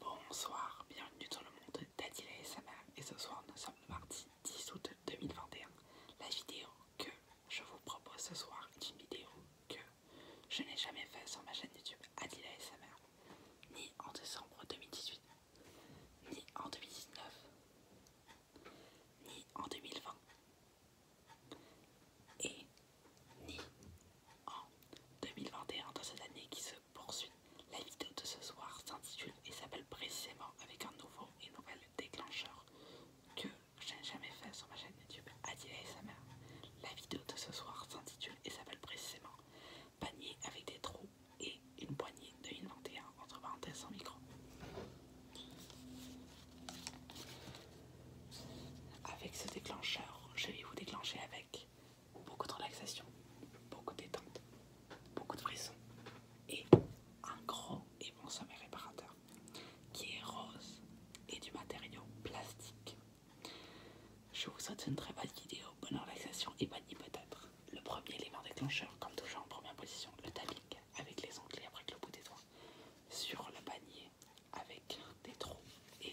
Bonsoir, bienvenue dans le monde d'Adila et et ce soir nous sommes le mardi 10 août 2021. La vidéo que je vous propose ce soir est une vidéo que je n'ai jamais faite sur ma chaîne YouTube Adila et ni en décembre 2018, ni en 2019, ni en 2020. Et ni en 2021 dans cette année qui se poursuit. La vidéo de ce soir s'intitule et s'appelle précisément avec un nouveau et nouvel déclencheur que je n'ai jamais fait sur ma chaîne YouTube et sa mère. La vidéo de ce soir s'intitule et s'appelle précisément panier avec des trous et une poignée de 2021 entre parenthèses en micro. Avec ce déclencheur, je vais vous déclencher avec beaucoup de relaxation, beaucoup de détente, beaucoup de frissons et un gros et bon sommet réparateur qui est rose et du matériau plastique. Je vous souhaite une très bonne vidéo, bonne relaxation et bonne peut-être. Le premier élément déclencheur, comme toujours en première position, le tapping avec les et après le bout des doigts sur le panier avec des trous et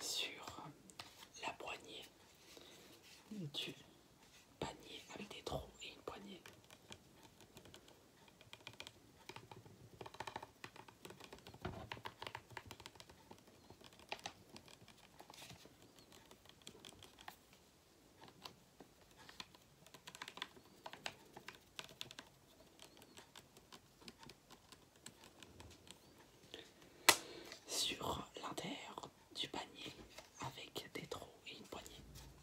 sur la poignée du panier avec des trous et une poignée sur l'intérieur du panier, avec des trous et une poignée,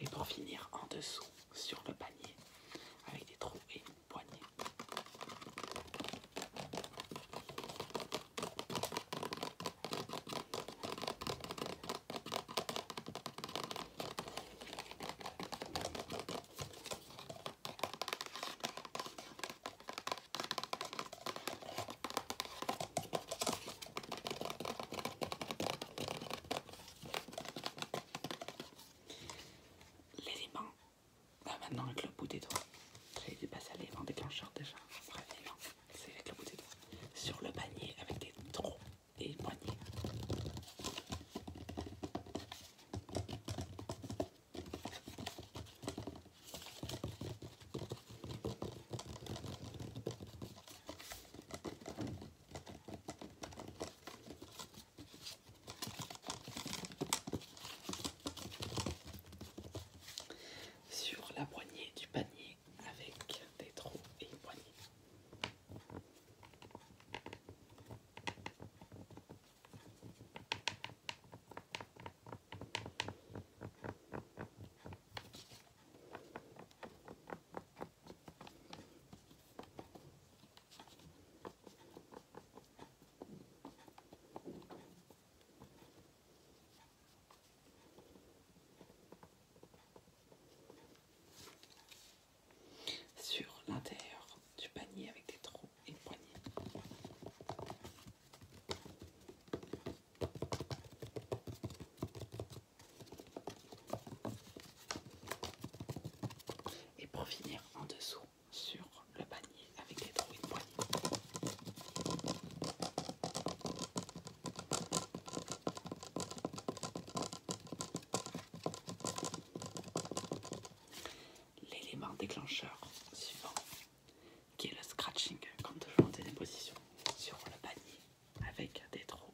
et pour finir en dessous sur le panier avec des trous et une poignée l'élément. Ah, maintenant, avec le bout des doigts. J'ai dû passer à l'élément déclencheur déjà. c'est avec le bout des doigts. Sur le panier avec des trous et une sur la poignée du panier avec des trous et une poignée sur l'intérieur du panier avec des trous et une poignée. Et pour finir en dessous sur le panier avec les trous de poignée. L'élément déclencheur suivant qui est le scratching quand je monte des positions sur le panier avec des trous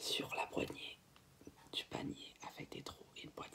sur la poignée du panier avec des trous et une poignée.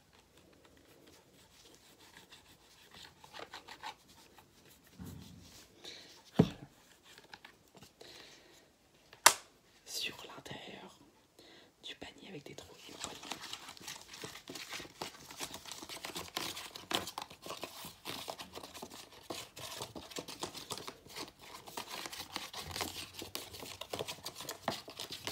Sur l'intérieur du panier avec des trous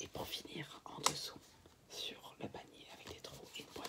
Et pour finir, en dessous, sur le panier avec des trous et une boîte.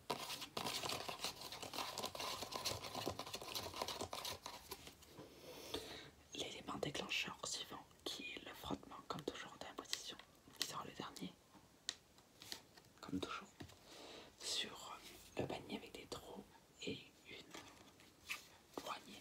L'élément déclencheur suivant qui est le frottement, comme toujours d'imposition, la position, qui sera le dernier, comme toujours, sur le panier avec des trous et une poignée.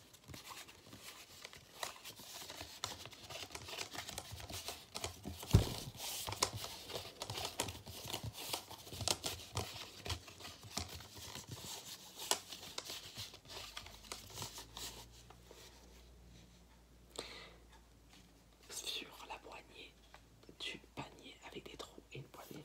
sur la poignée du panier avec des trous et une poignée.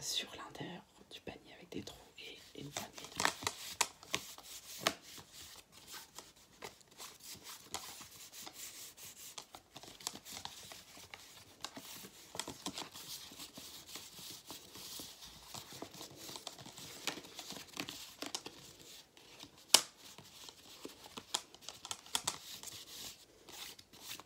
sur l'intérieur du panier avec des trous et une métallique.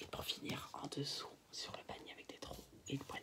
Et pour finir, en dessous, sur le panier avec des trous et une poignée.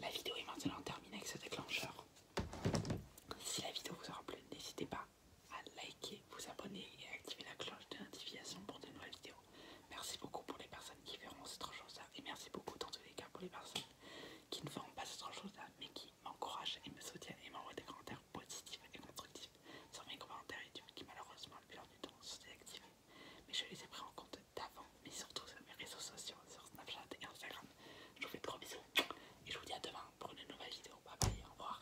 La vidéo est maintenant terminée avec ce déclencheur. Si la vidéo vous aura plu, n'hésitez pas à liker, vous abonner et à activer la cloche de notification pour de nouvelles vidéos. Merci beaucoup pour les personnes qui verront cette chose-là. Et merci beaucoup dans tous les cas pour les personnes qui ne feront pas cette chose-là, mais qui m'encouragent et me soutiennent et m'envoient des commentaires positifs et constructifs sur mes commentaires YouTube qui malheureusement le depuis du temps sont désactivés. Mais je les ai pris en compte d'avant, mais surtout sur mes réseaux sociaux, sur Snapchat et Instagram. Je vous fais de gros bisous et je vous dis à demain pour une nouvelle vidéo. Bye bye, au revoir.